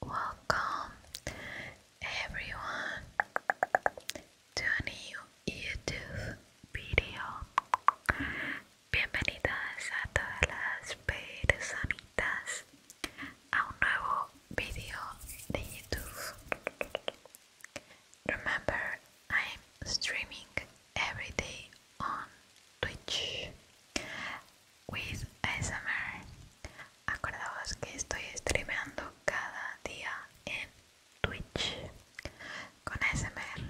Welcome everyone to a new YouTube video. Bienvenidas a todas las personitas a un nuevo video de YouTube. Remember, I'm streaming every day on Twitch with ASMR. Acordaos que estoy streameando cada día en Twitch con ASMR.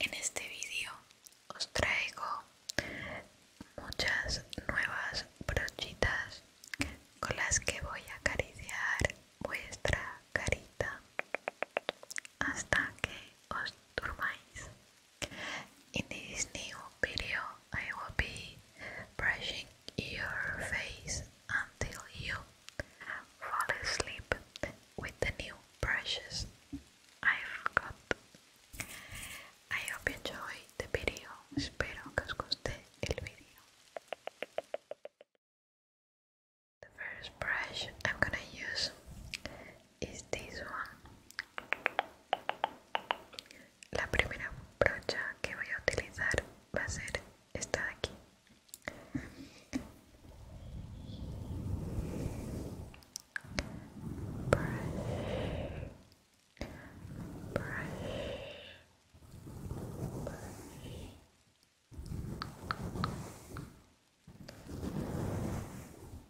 En este vídeo os traigo muchas nuevas brochitas con las que voy a acariciar vuestra carita hasta que os durmáis In this new video, I will be brushing your face until you fall asleep with the new brushes I forgot. I hope you enjoy the video. The first brush I'm gonna use es este La primera brocha que voy a utilizar va a ser esta de aquí.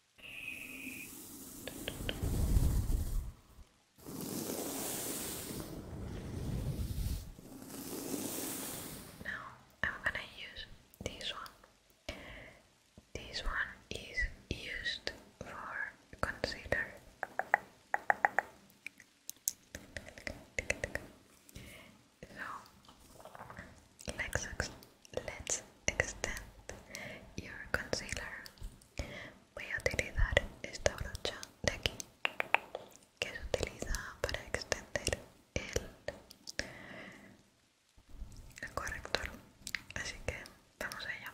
Now I'm gonna use this one. This one is used for concealer. So, let Let's extend your concealer. Voy a utilizar esta brocha de aquí que se utiliza para extender el, el corrector. Así que vamos allá.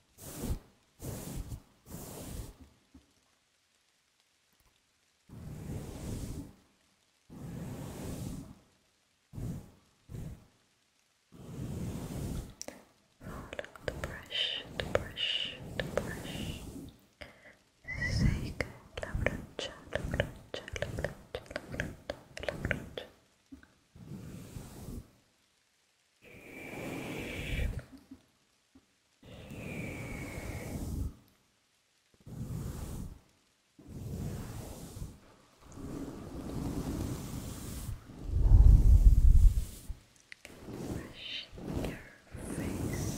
Look, the brush, the brush, the brush. Zeker, la brocha, la brocha, la brocha, la brocha, la brocha. Brushing your face.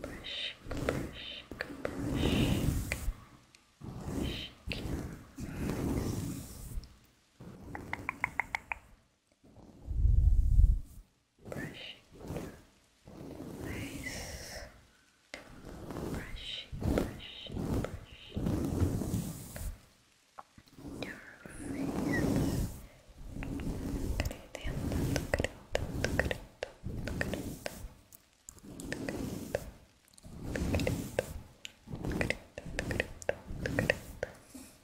Brushing, brushing, brushing. Brushing your face brushing your face, brushing, brushing, brushing your face. Brushing, brushing, brushing, brushing, brushing, brushing, brushing, brushing, brushing, brushing, brushing,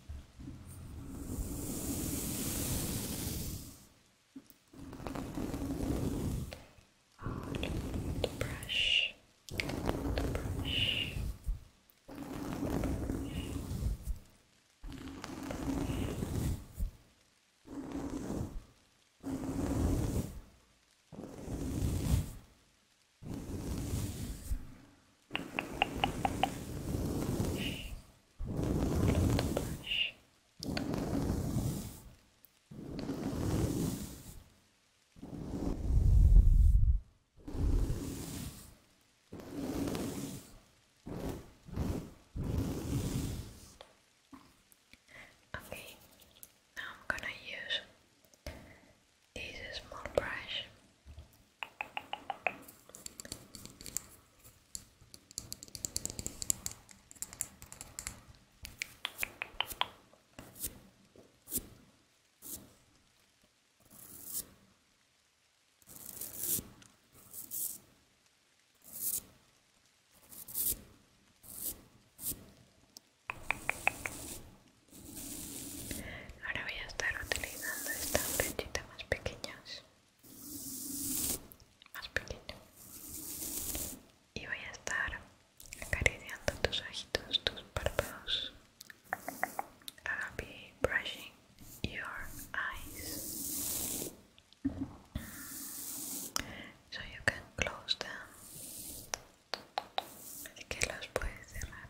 The brush. The brush. Brush. Okay, now I'm gonna use this small brush Ahora voy a estar utilizando esta flechita más pequeña más pequeño y voy a estar acariciando tus ojitos tus párpados I'll be brushing your eyes so you can close them así que los puedes cerrar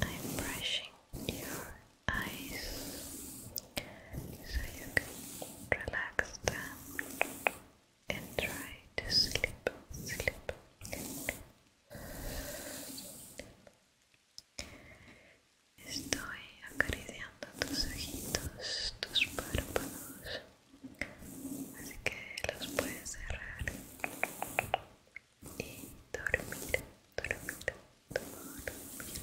I'm brushing your eyes so you can relax them and try to sleep, sleep, Estoy acariciando tus ojitos, tus párpados, así que los puedes cerrar y dormir, dormir, dormir.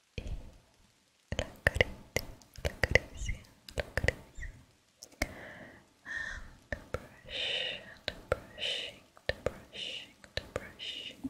y la caricia, la caricia, la caricia and brush, brushing, the brushing, the brushing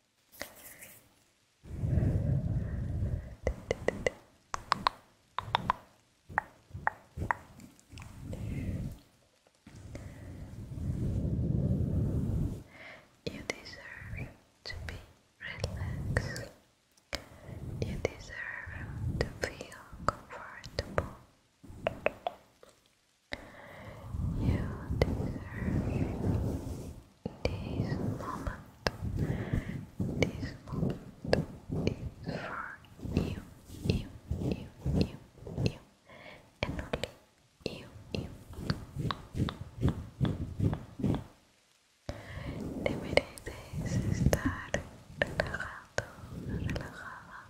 You deserve to be relaxed. You deserve to feel comfortable. You deserve this moment. This moment for you, you, you, you, you, and only you, you. Te mereces estar relajado, relajada.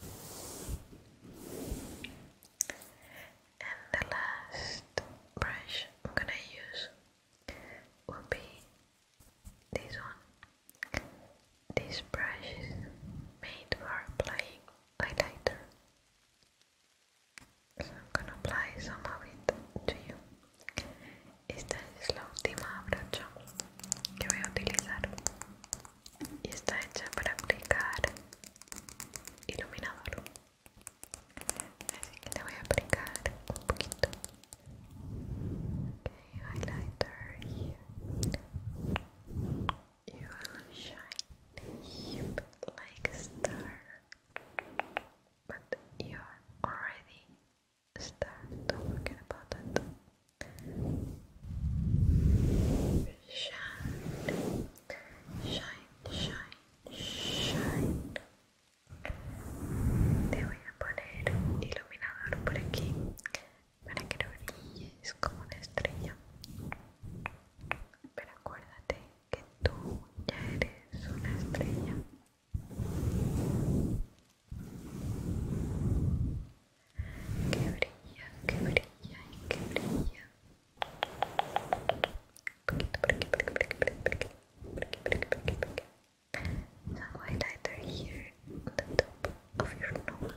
And the last brush I'm gonna use will be this one. This brush is made for applying highlighter. So I'm gonna apply some of it to you. Esta es la última brocha que voy a utilizar y está hecha para aplicar iluminador así que le voy a aplicar un poquito okay, highlighter you will shine like a star but you are already está Shine, shine, shine, shine. Te voy a poner un iluminador por aquí para que lo brilles como una estrella. Pero acuérdate que tú ya eres una estrella. Que brilla, que here on the top of your nose.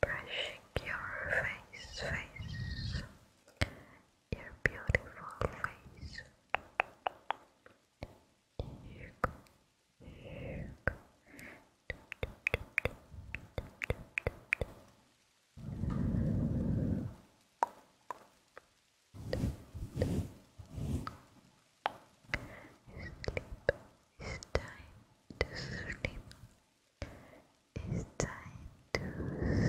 Brushing your face, face your beautiful face. you go. you go. It's time to sleep. It's time to sleep. Sleep, sleep, sleep, sleep,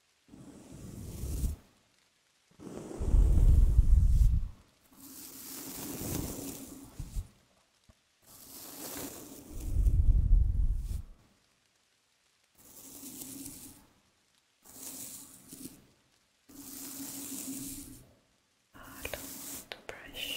I don't want to brush.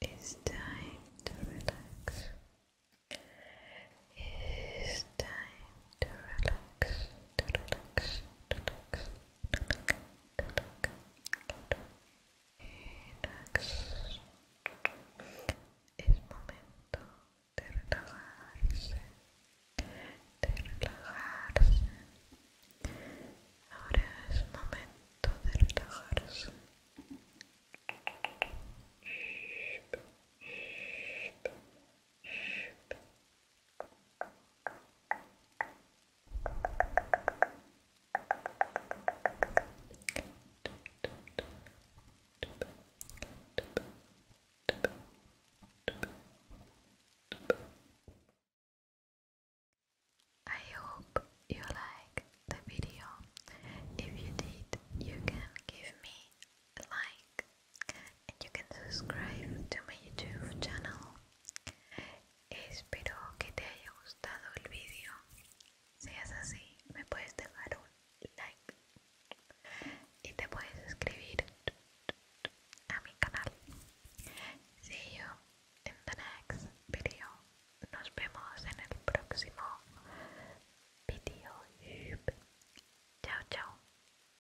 It's time to relax. It's time to relax. Es momento de relajarse, de relajarse. Ahora es momento de relajarse. I hope you like the video. If you did, you can give me a like and you can subscribe to my YouTube channel. Espero que te haya gustado el vídeo. Si es así, me puedes dejar un like y te puedes suscribir a mi canal. See you in the next video. Nos vemos en el próximo video. Chao, chao.